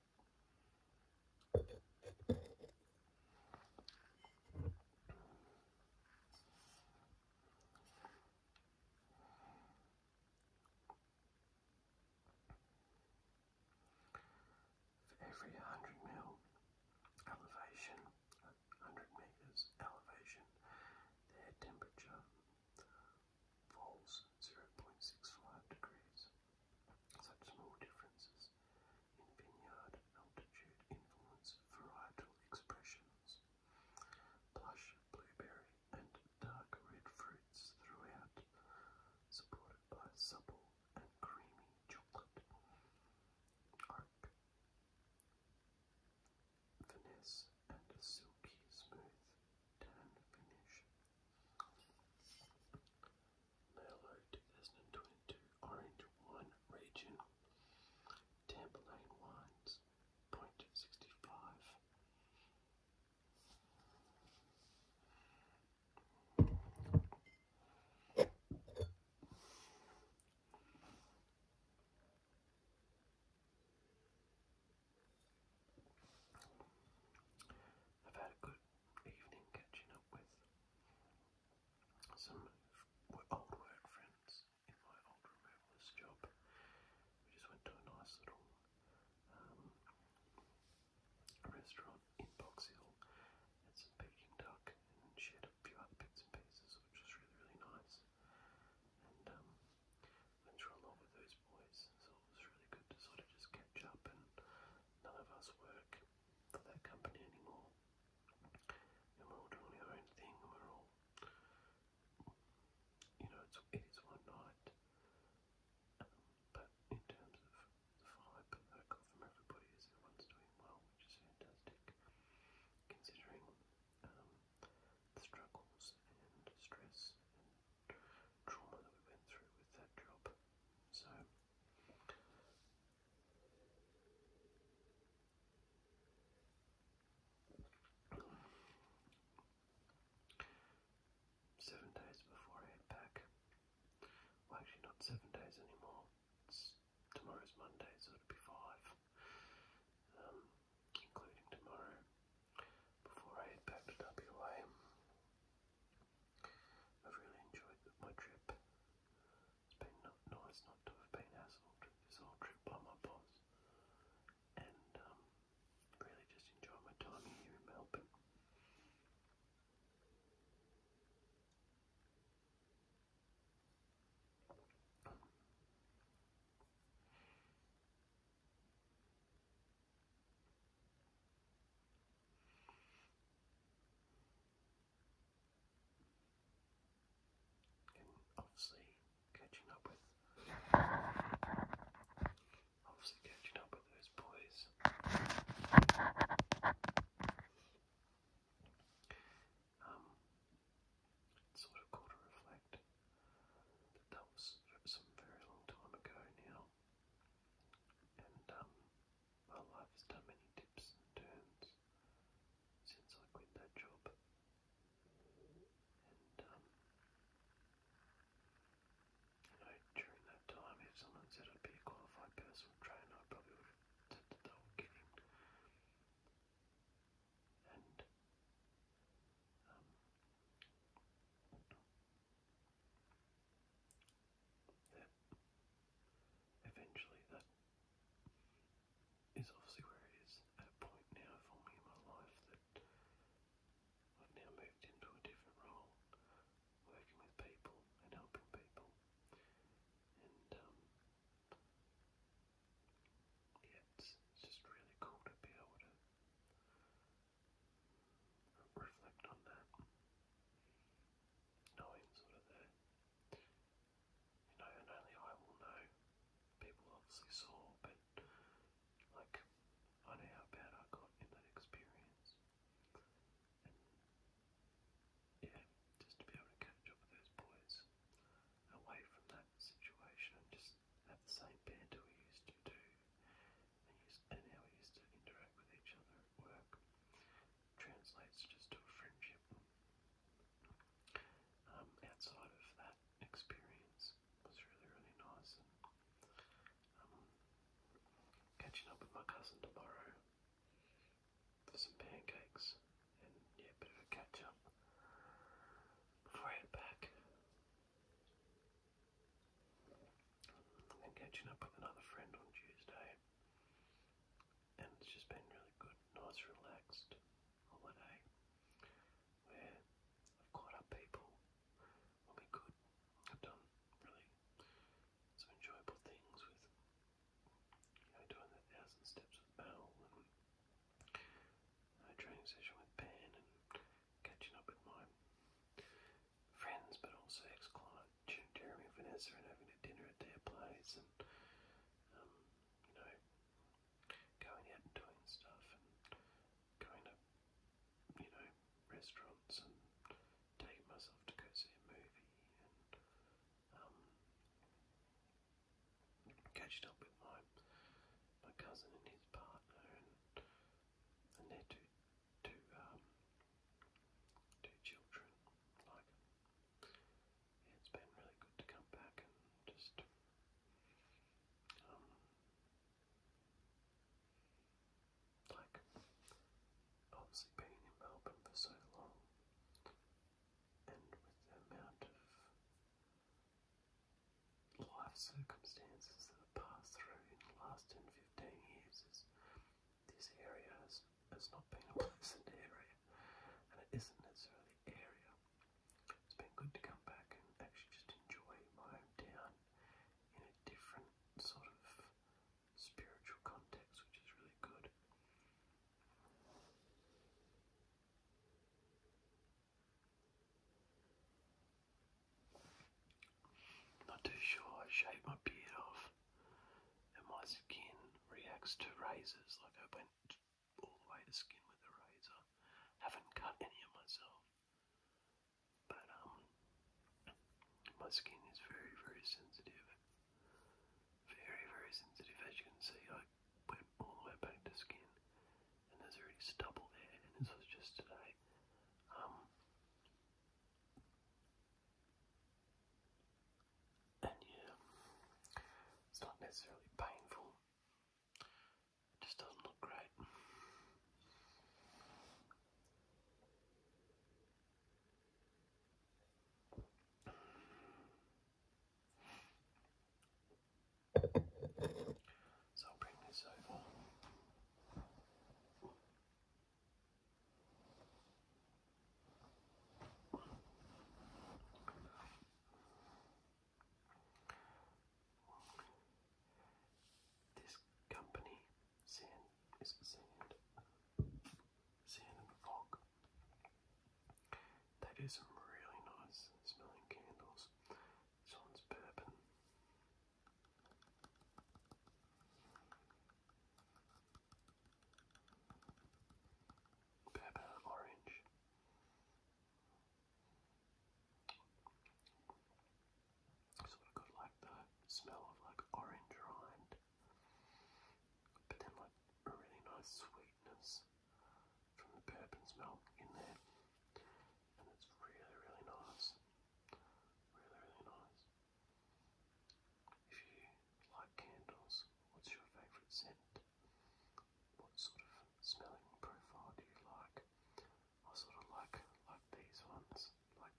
For every 100 mil elevation, 100 meters elevation, the air temperature falls 0.65 degrees. Such small differences in vineyard altitude influence varietal expressions. Plush blueberry and dark red fruits throughout, supported by supple and creamy chocolate. Oak. Finesse and a silky smooth tan finish. Mailer 2022 Orange Wine Region, Tamperlane Wines, 0.65. I've had a good evening catching up with some old work friends in my old removalist job. We just went to a nice little um, restaurant in Box Hill, had some Peking duck, and shared a few other bits and pieces, which was really, really nice. And um, went through a lot with those boys, so it's really good to sort of just catch up, and none of us work for that company anymore. we're all doing our own thing, we're all, you know, it's, it is one night. Um, but in terms of the vibe that I got from everybody, is everyone's doing well, which is fantastic, considering um, the struggles and stress trauma that we went through with that job. So seven days before I head back. Well, actually, not seven days anymore. tomorrow's Monday, so it'll be five, um, including tomorrow. Before I head back to WA, I've really enjoyed my trip. It's been nice not to have been hassled this whole trip by my boss, and um, really just enjoy my time here in Melbourne. And obviously catching up with obviously catching up with those boys. Um it's sort of cool to reflect that that was some very long time ago now. And um my life has done many dips and turns since I quit that job. And um, you know, during that time if someone said I'd be a qualified personal trainer, I probably would have said that And um, yeah. Eventually, that is obviously where it is at a point now for me in my life that I've now moved into a different role, working with people and helping people. And, um, yeah, it's just really cool to be able to reflect on that not even sort of there. You know, and only I will know. People obviously saw, but like, I know how bad I got in that experience. And yeah, just to be able to catch up with those boys away from that situation and just have the same banter we used to do and, used, and how we used to interact with each other work translates just to a friendship. Um, outside of that experience was really, really nice. Um, catching up with my cousin tomorrow for some pancakes and yeah, a bit of a catch up before I head back. And catching up with another friend on Tuesday and it's just been really good, nice, relaxed holiday where I've caught up people when we could. I've done really some enjoyable things with, doing the thousand steps with Mel and a training session with Pan and catching up with my friends, but also ex-client Jeremy and Vanessa, and having a dinner at their place, and um, you know, going out and doing stuff, and going to you know restaurants, and taking myself to go see a movie, and um, catching up with my my cousin and his partner, and and their two to um, to children. Like it's been really good to come back and just um, like obviously being in Melbourne for so long, and with the amount of life circumstances that have passed through in the last 10 years is this area has, has not been a pleasant area, and it isn't necessarily area. It's been good to come back and actually just enjoy my hometown in a different sort of spiritual context, which is really good. Not too sure. I shaved my beard off, and my skin reacts to razors. Like I went all the way to skin with a razor. Haven't cut any of myself, but um, my skin is very, very sensitive. Very, very sensitive. As you can see, I went all the way back to skin, and there's already stubble there. And this was just today. Um, and yeah, it's not necessarily painful, just doesn't look great. So I'll bring this over. This company, sand is sand, sand and fog. They do some really nice smelling candles. This one's bourbon. Pepper orange. Sort of got like the smell of like orange rind, but then like a really nice sweetness from the bourbon's milk in there, and it's really, really nice. Really, really nice. If you like candles, what's your favourite scent? What sort of smelling profile do you like? I sort of like like these ones. Like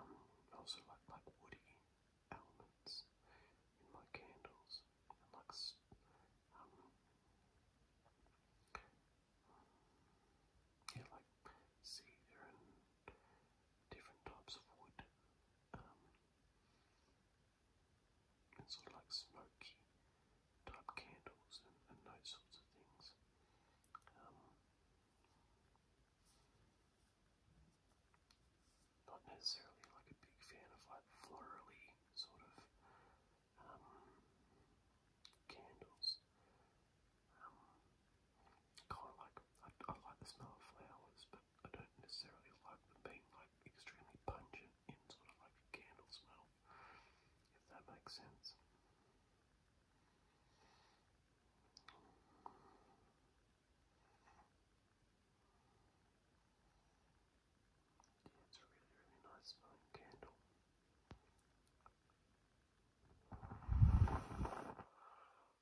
um, also like like woody elements in my candles. like um, yeah, like cedar and different types of wood, um, and sort of like smoky type candles and, those sorts of things. Um, not necessarily like a big fan of like florally sort of um, candles kind of like I, like the smell of flowers, but I don't necessarily like them being like extremely pungent in sort of like candle smell, if that makes sense. it's really, really nice smelling candle.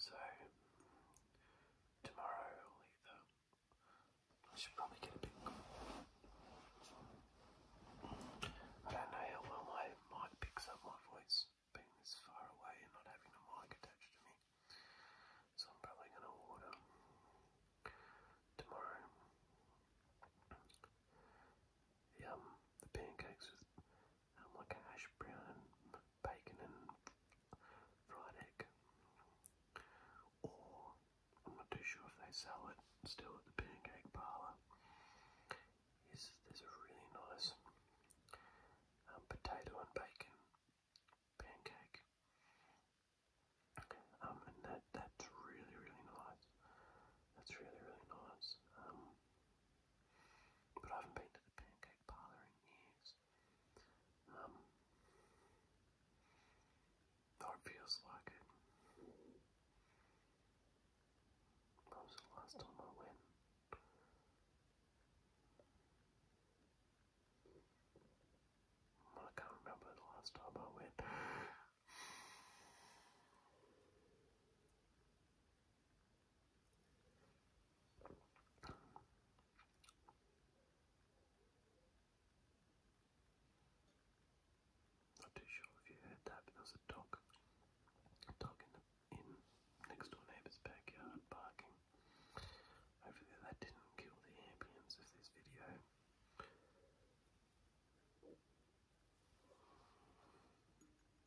So tomorrow I'll either I should probably get a bit I don't know how well my mic picks up my voice being this far away and not having a mic attached to me. So I'm probably gonna order tomorrow. The the pancakes with and like a hash brown and bacon and fried egg. Or, I'm not too sure if they sell it still at the pancake parlour, is there's a really nice um, potato and bacon pancake. Um, and that that's really really nice. That's really really nice. Um, but I haven't been to the pink delicate collaring Um, though it feels like it. was the last hmm. time I went. I can't remember the last time I went. Not too sure if you heard that, but there a dog, a in next door neighbour's backyard barking. Hopefully that didn't kill the ambience of this video.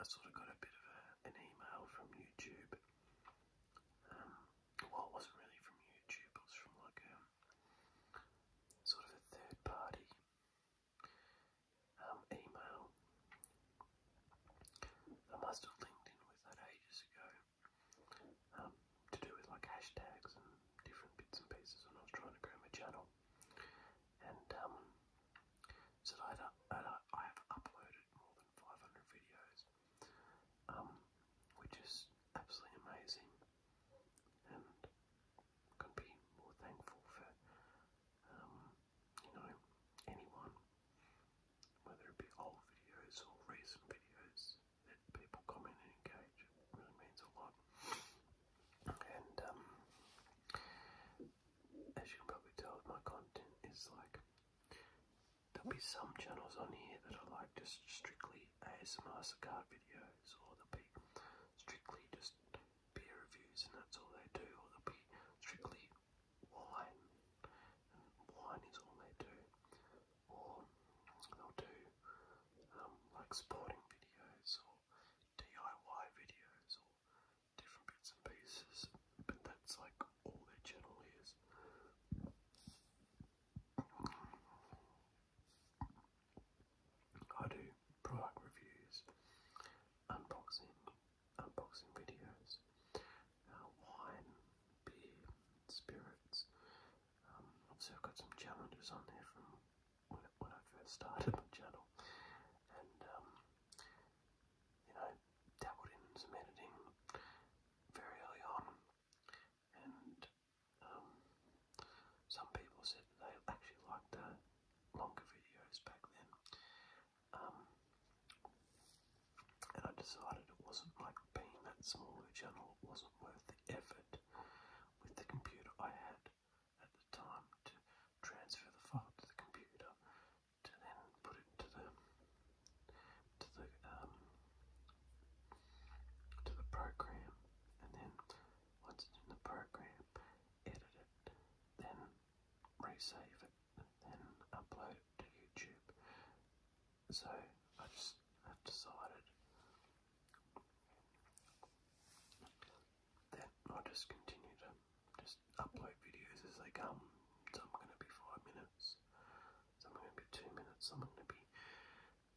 I sort of got a bit of an email from YouTube. Um, well, it wasn't really from YouTube, it was from like a um, sort of a third party um, email. I must have linked in with that ages ago to do with like hashtags and different bits and pieces when I was trying to grow my channel. And um, I have uploaded more than 500 videos, um, which is absolutely amazing, and couldn't be more thankful for, um, you know, anyone, whether it be old videos or recent videos that people comment and engage. really means a lot. And um, as you can probably tell my content, is like there'll be some channels on here that are like just strictly ASMR cigar videos, or they will be strictly just beer reviews and that's all they do, or they will be strictly wine wine is all they do, or they'll do um, like sporting videos or DIY videos or different bits and pieces, but that's like all their channel is. I do product reviews, unboxing, unboxing videos, uh, wine, beer, spirits. Um, obviously, I've got some challenges on there from when, I first started my channel, and um, you know, I dabbled in some editing very early on, and um, some people said they actually liked the longer videos back then. Um, and I decided it wasn't like being that smaller channel, it wasn't worth the effort with the computer I had at the time to transfer the file to the computer to then put it to the to the um, to the program, and then once it's in the program, edit it, then resave it, then upload to YouTube. So I just have decided that i just continue to just upload videos as they come. Some are going to be five minutes, some are going to be two minutes, some are going to be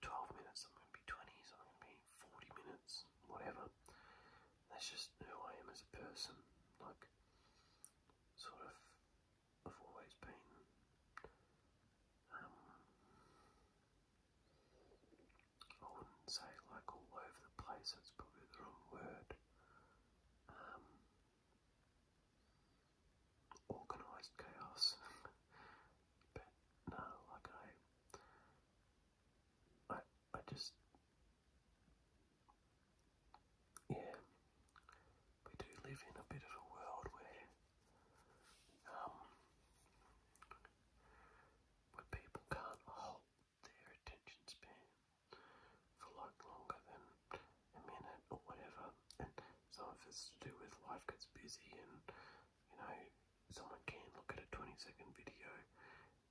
12 minutes, some are going to be 20, some are going to be 40 minutes, whatever. That's just who I am as a person. Like, sort of, I've always been. Um, I wouldn't say like all over the place, that's probably the wrong word. Um, organised chaos. but no, like I, I, I just, yeah, we do live in a bit of a world where, um, where people can't hold their attention span for like longer than a minute or whatever. And some of it's to do with life gets busy and you know, someone can look at a 20 second video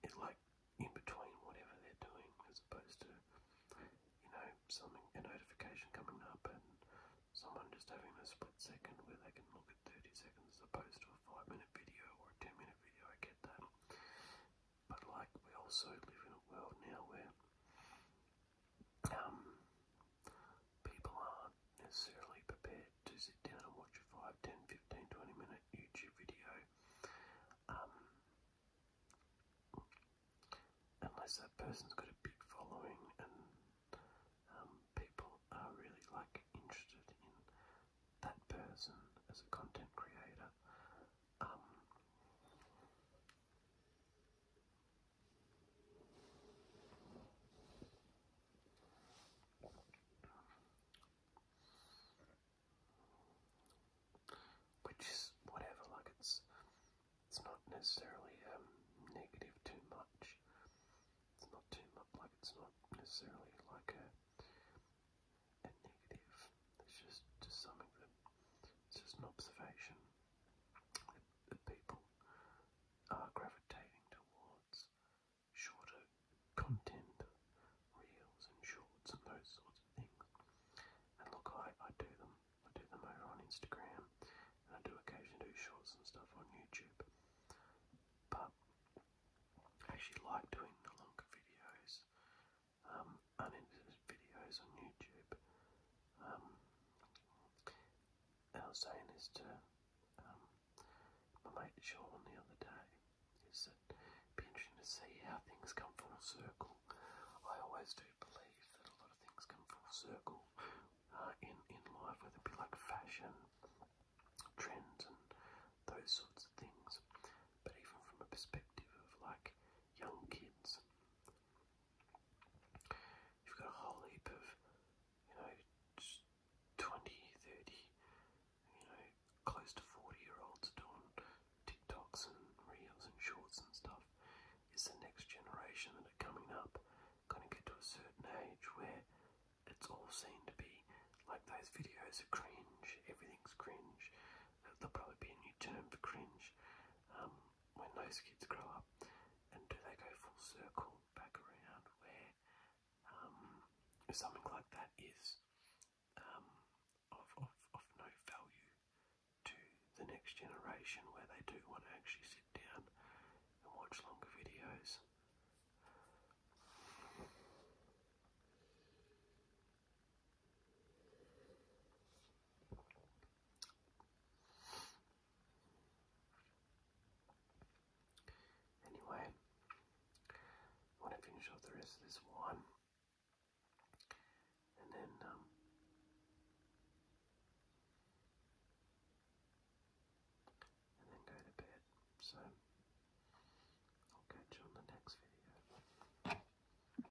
it like in between whatever they're doing as opposed to you know, something a notification coming up and someone just having a split second where they can look at 30 seconds as opposed to a five minute video or a 10 minute video, I get that. But like we also live in a world now where um, people aren't necessarily prepared to sit down and watch a 5, minute YouTube video um, unless that person's got a big following and um, people are really like interested in that person as a content creator um, which is whatever, like it's it's not necessarily um, negative too much. It's not too much, like it's not necessarily like a and negative. It's just just something that it's just an observation that, people are gravitating towards shorter content, reels and shorts and those sorts of things. And look, I, I do them. I do them over on Instagram, I do occasionally do shorts and stuff on YouTube. But I actually like doing the longer videos um, unedited videos on YouTube. Um, I was saying this to um, my mate Sean the other day. Is that it'd be interesting to see how things come full circle. I always do believe that a lot of things come full circle uh, in in life, whether it be like fashion, trends, and those sorts of things. But even from a perspective of like young kids, You've got a whole heap of, you know, 20, you know, close to 40 year olds doing TikToks and reels and shorts and stuff. It's the next generation that are coming up going to get to a certain age where it's all seen to be like those videos are cringe, everything's cringe. There'll probably be a new term for cringe um, when those kids grow up? And do they go full circle back around where um, something like that is um, of, of, of no value to the next generation where they do want to actually sit down and watch longer videos? Anyway, want to finish off the rest of this one, and then um, and then go to bed. So I'll catch you on the next video.